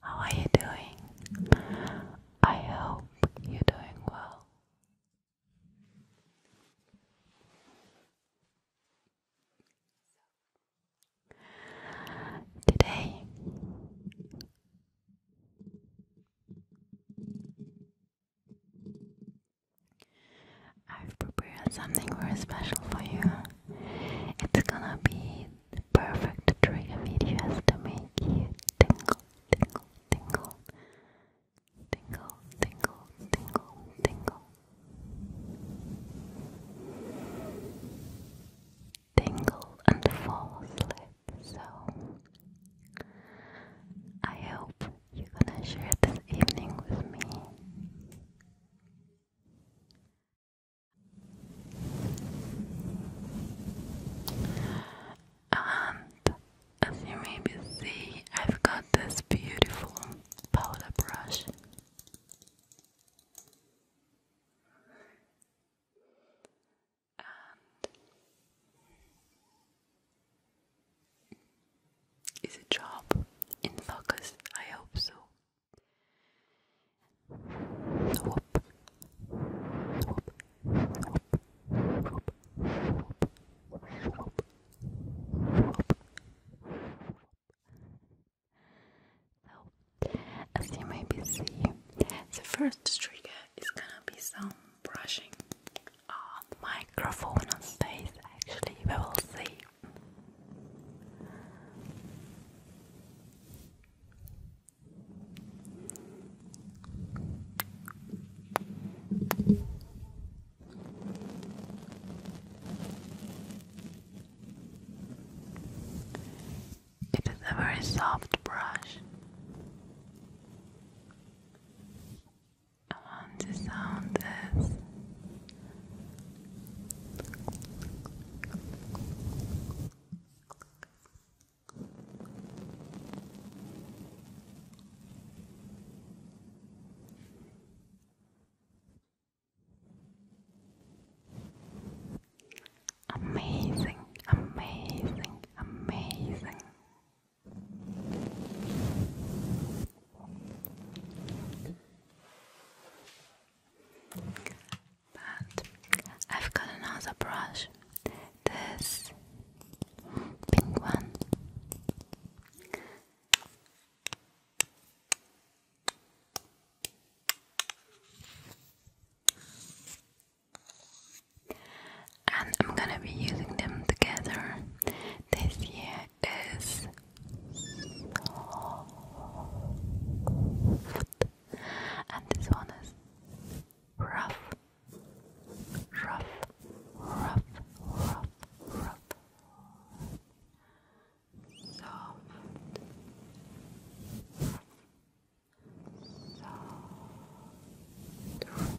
How are you doing? I hope you're doing well. Today I've prepared something very special for you. It's gonna be the perfect trigger videos to make you tingle, tingle, tingle, tingle, tingle, tingle, tingle, tingle, and fall asleep. So I hope you're gonna share this evening with me. And as you maybe see, I've got this beautiful powder brush. is a job in focus? I hope so as you maybe see, the first trigger is gonna be some brushing on the microphone on face. Actually, we will see it is a very soft brush, and the sound is Amazing, amazing, amazing. But I've got another brush. This pink one. And I'm gonna be using them together this year is soft, and this one is rough, rough, rough, rough, rough, soft, soft, Rough,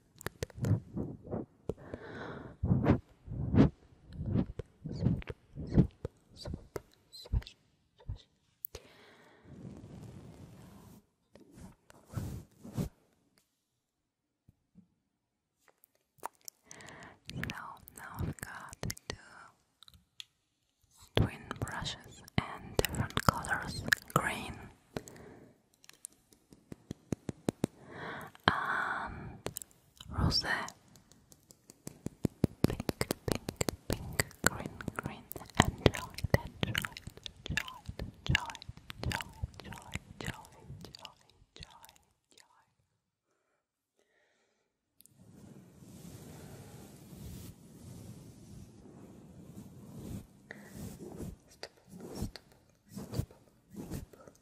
So now I've got the twin brushes and different colors green and rose, pink, pink, pink, green, green, enjoyed, enjoyed, enjoyed, enjoyed, enjoyed, joy, joy, joy, joy, joy. Stipple, stipple, stipple, stipple,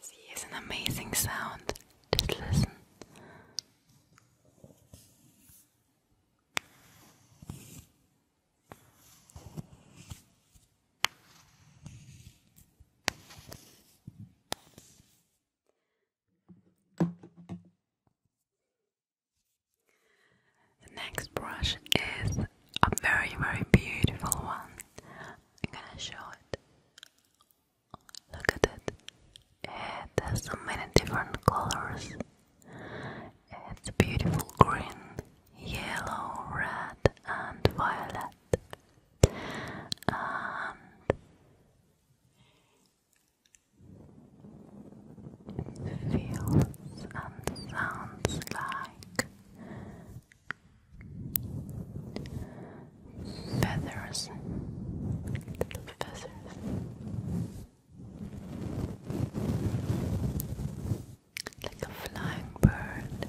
This is an amazing sound. Just listen. The next brush is a very, very beautiful one. I'm gonna show it. Look at it. It has so many different colors. It's beautiful green, yellow, red, and violet. Um, feels and sounds like feathers, little feathers. Like a flying bird,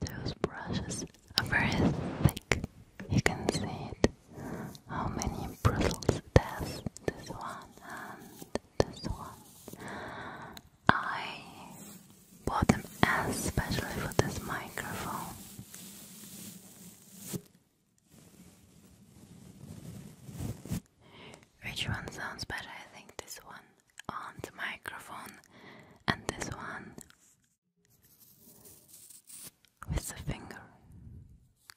Those brushes are very thick, you can see it. How many bristles does this one and this one? I bought them especially for this microphone. Which one sounds better? I think this one on the microphone and this one with the finger.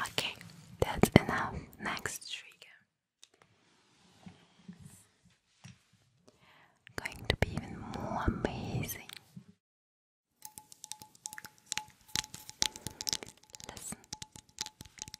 Okay, that's enough. Next trigger. Going to be even more amazing. Listen,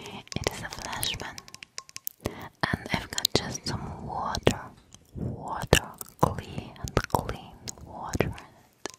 It is a flashman, and I've got just some water, water, clean, clean water in it.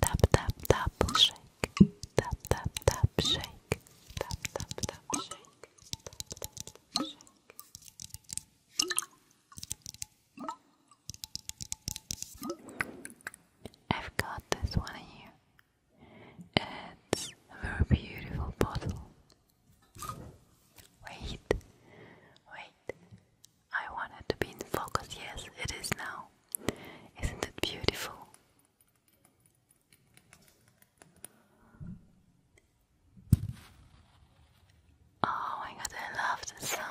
Tap tap tap shake. Tap tap tap shake. Tap tap tap shake. Tap tap I've got this one here. It's a very beautiful bottle. Wait, wait. I want to be in focus. Yes, it is now. Isn't it beautiful? Oh my god, I love the sound.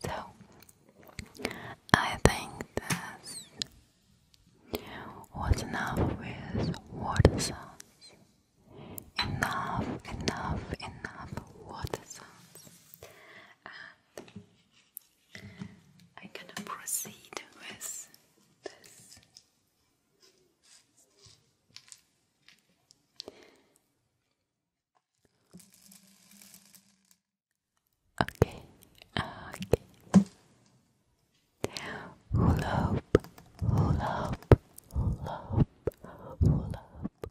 So I think that's enough with water sounds. Enough, enough, enough water sounds. I'm gonna proceed with this. Okay, okay. Hula hoop, hula hoop, hula hoop, hula hoop.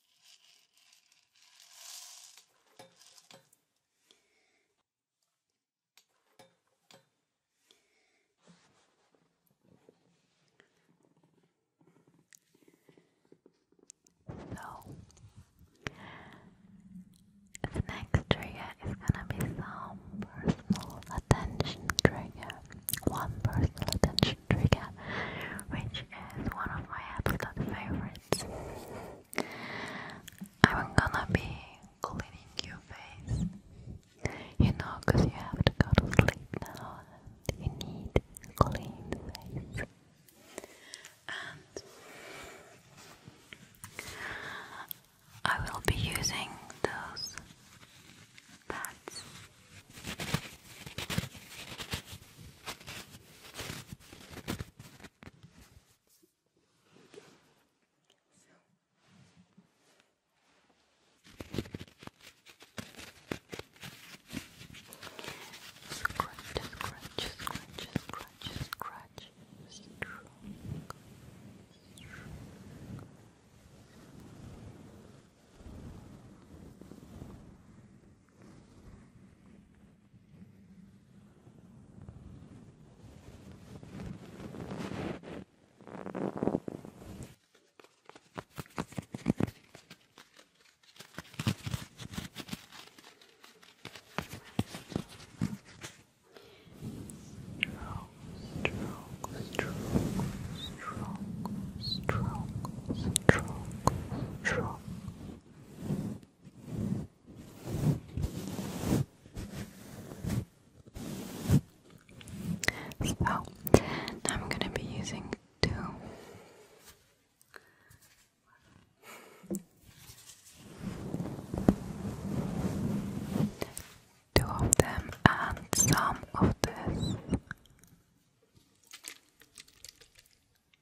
So, the next trigger is gonna be some personal attention trigger. One personal attention trigger, which is one of my absolute favorite I'm gonna be cleaning your face. You know, because you have to go to sleep now and you need a clean face. And I will be using those pads. So scratch, scratch, scratch, scratch, scratch, strong, strong. Good. Strong, strong, strong, strong, strong, so I'm gonna be using two two of them and some of this.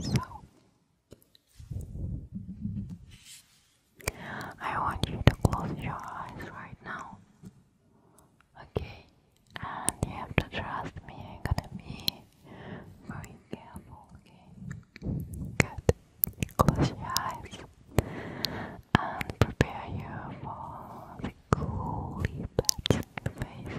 So, I want you to close your eyes right now. Okay, and you have to trust me, i gonna be very careful, Good. Close your eyes and prepare you for the coolie pets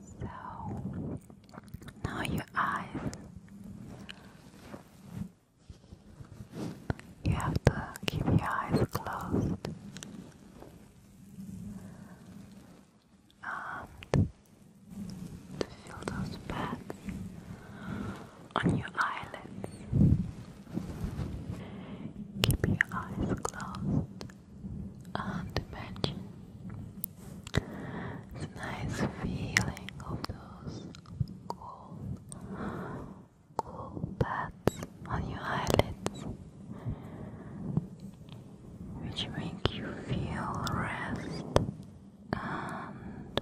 So now your eyes, you have to keep your eyes closed. Um, to feel those pads on your eyelids. Keep your eyes closed and imagine the nice feeling of those cool, cool pads on your eyelids, which make you feel rest and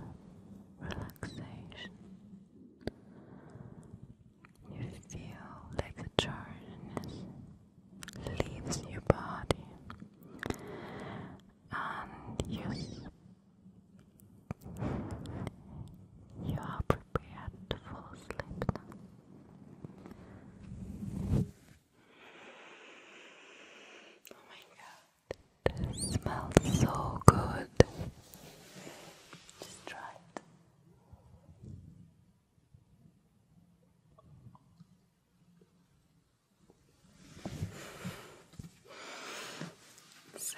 relaxation. You feel like the charginess leaves your body and you, you are prepared to fall asleep now. Oh my god, this smells so good. Just try it. So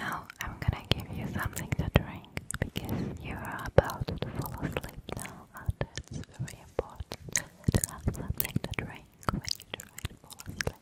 now I'm gonna give you something to drink because you are about to fall asleep now, and it's very important to have something to drink when you try to fall asleep.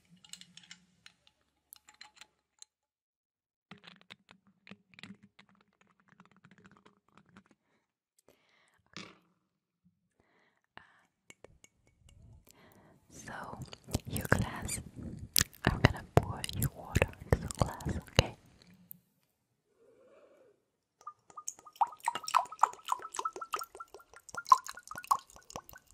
Uh, so, your glass, I'm gonna pour your water into the glass, okay?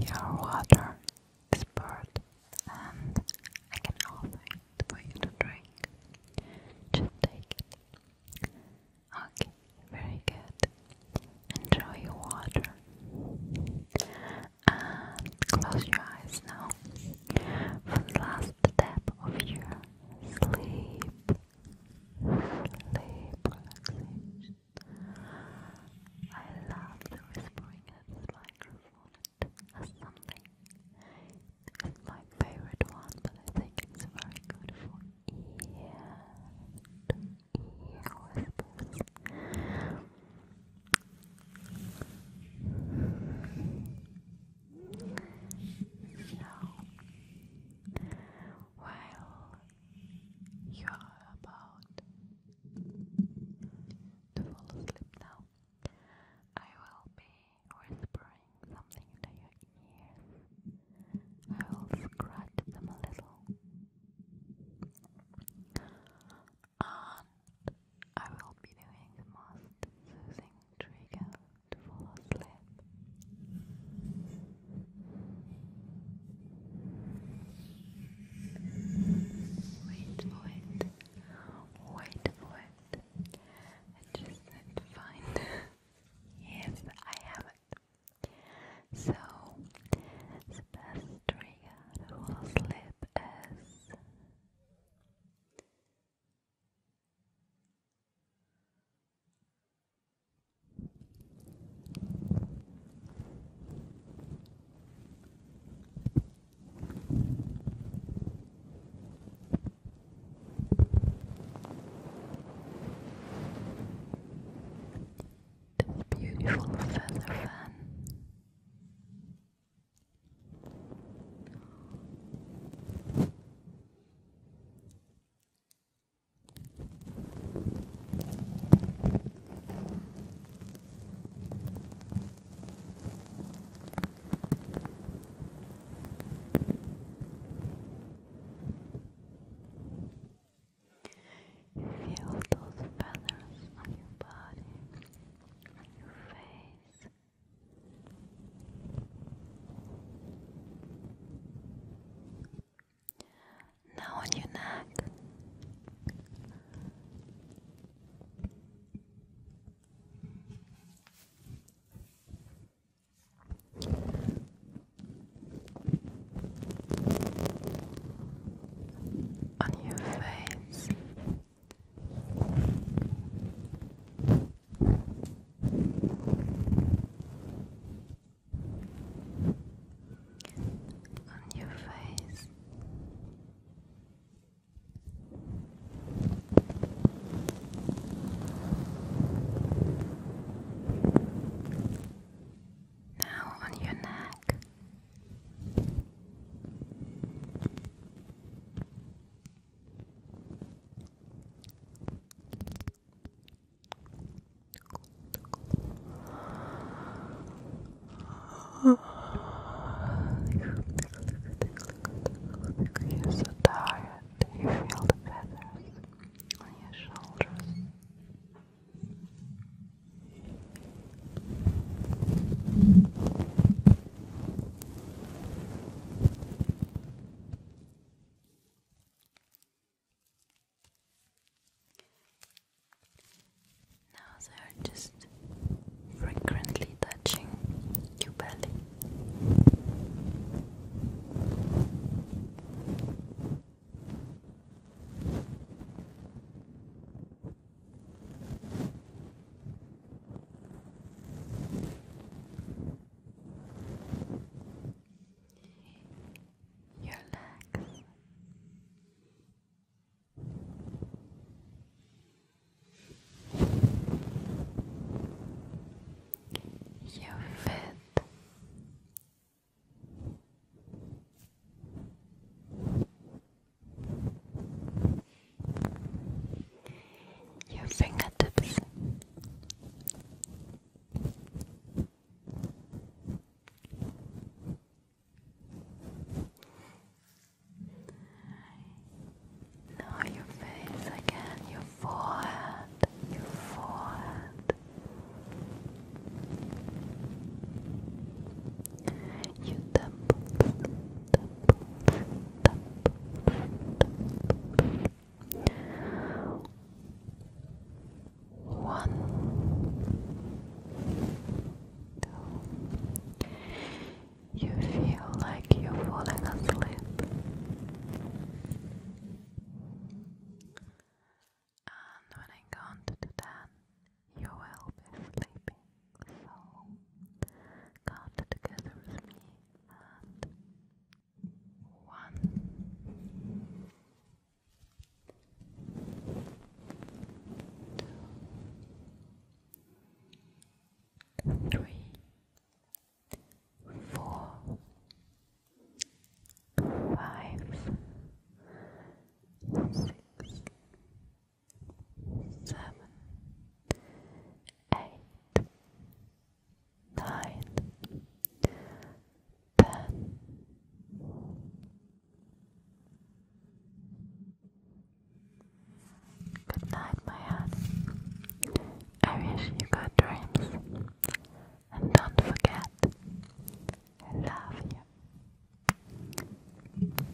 your water is poured, and I can offer it for you to drink. Just take it. Okay, very good. Enjoy your water and close your eyes now for the last step of your sleep, sleep relaxation. I love the whispering at the microphone as something. It's my favorite one, but I think it's very good for ear, ear whispers. So, while you are about to fall asleep now, I will be whispering something into your ears. I will scratch them a little and um, I will be doing the most soothing trigger to fall asleep. Wait for it. Wait I just need to Yes, I have it. So the best trigger to fall asleep is the beautiful feather fan. Feel those feathers on your body on your face. Now on your neck. On your face, on your face. Now on your neck. You're so tired. You feel the feathers on your shoulders. Now they are just frequently touching your belly. Your legs. Your feet. Your your fingertips. Now your face again, your forehead, your forehead you temple, temple, temple, temple. One, two. You feel like you're falling asleep, and when I count to ten, you are be sleeping, so count together with me and one, two, three, seven, eight, nine, ten. Good night, my heart. I wish you good dreams. And don't forget, I love you.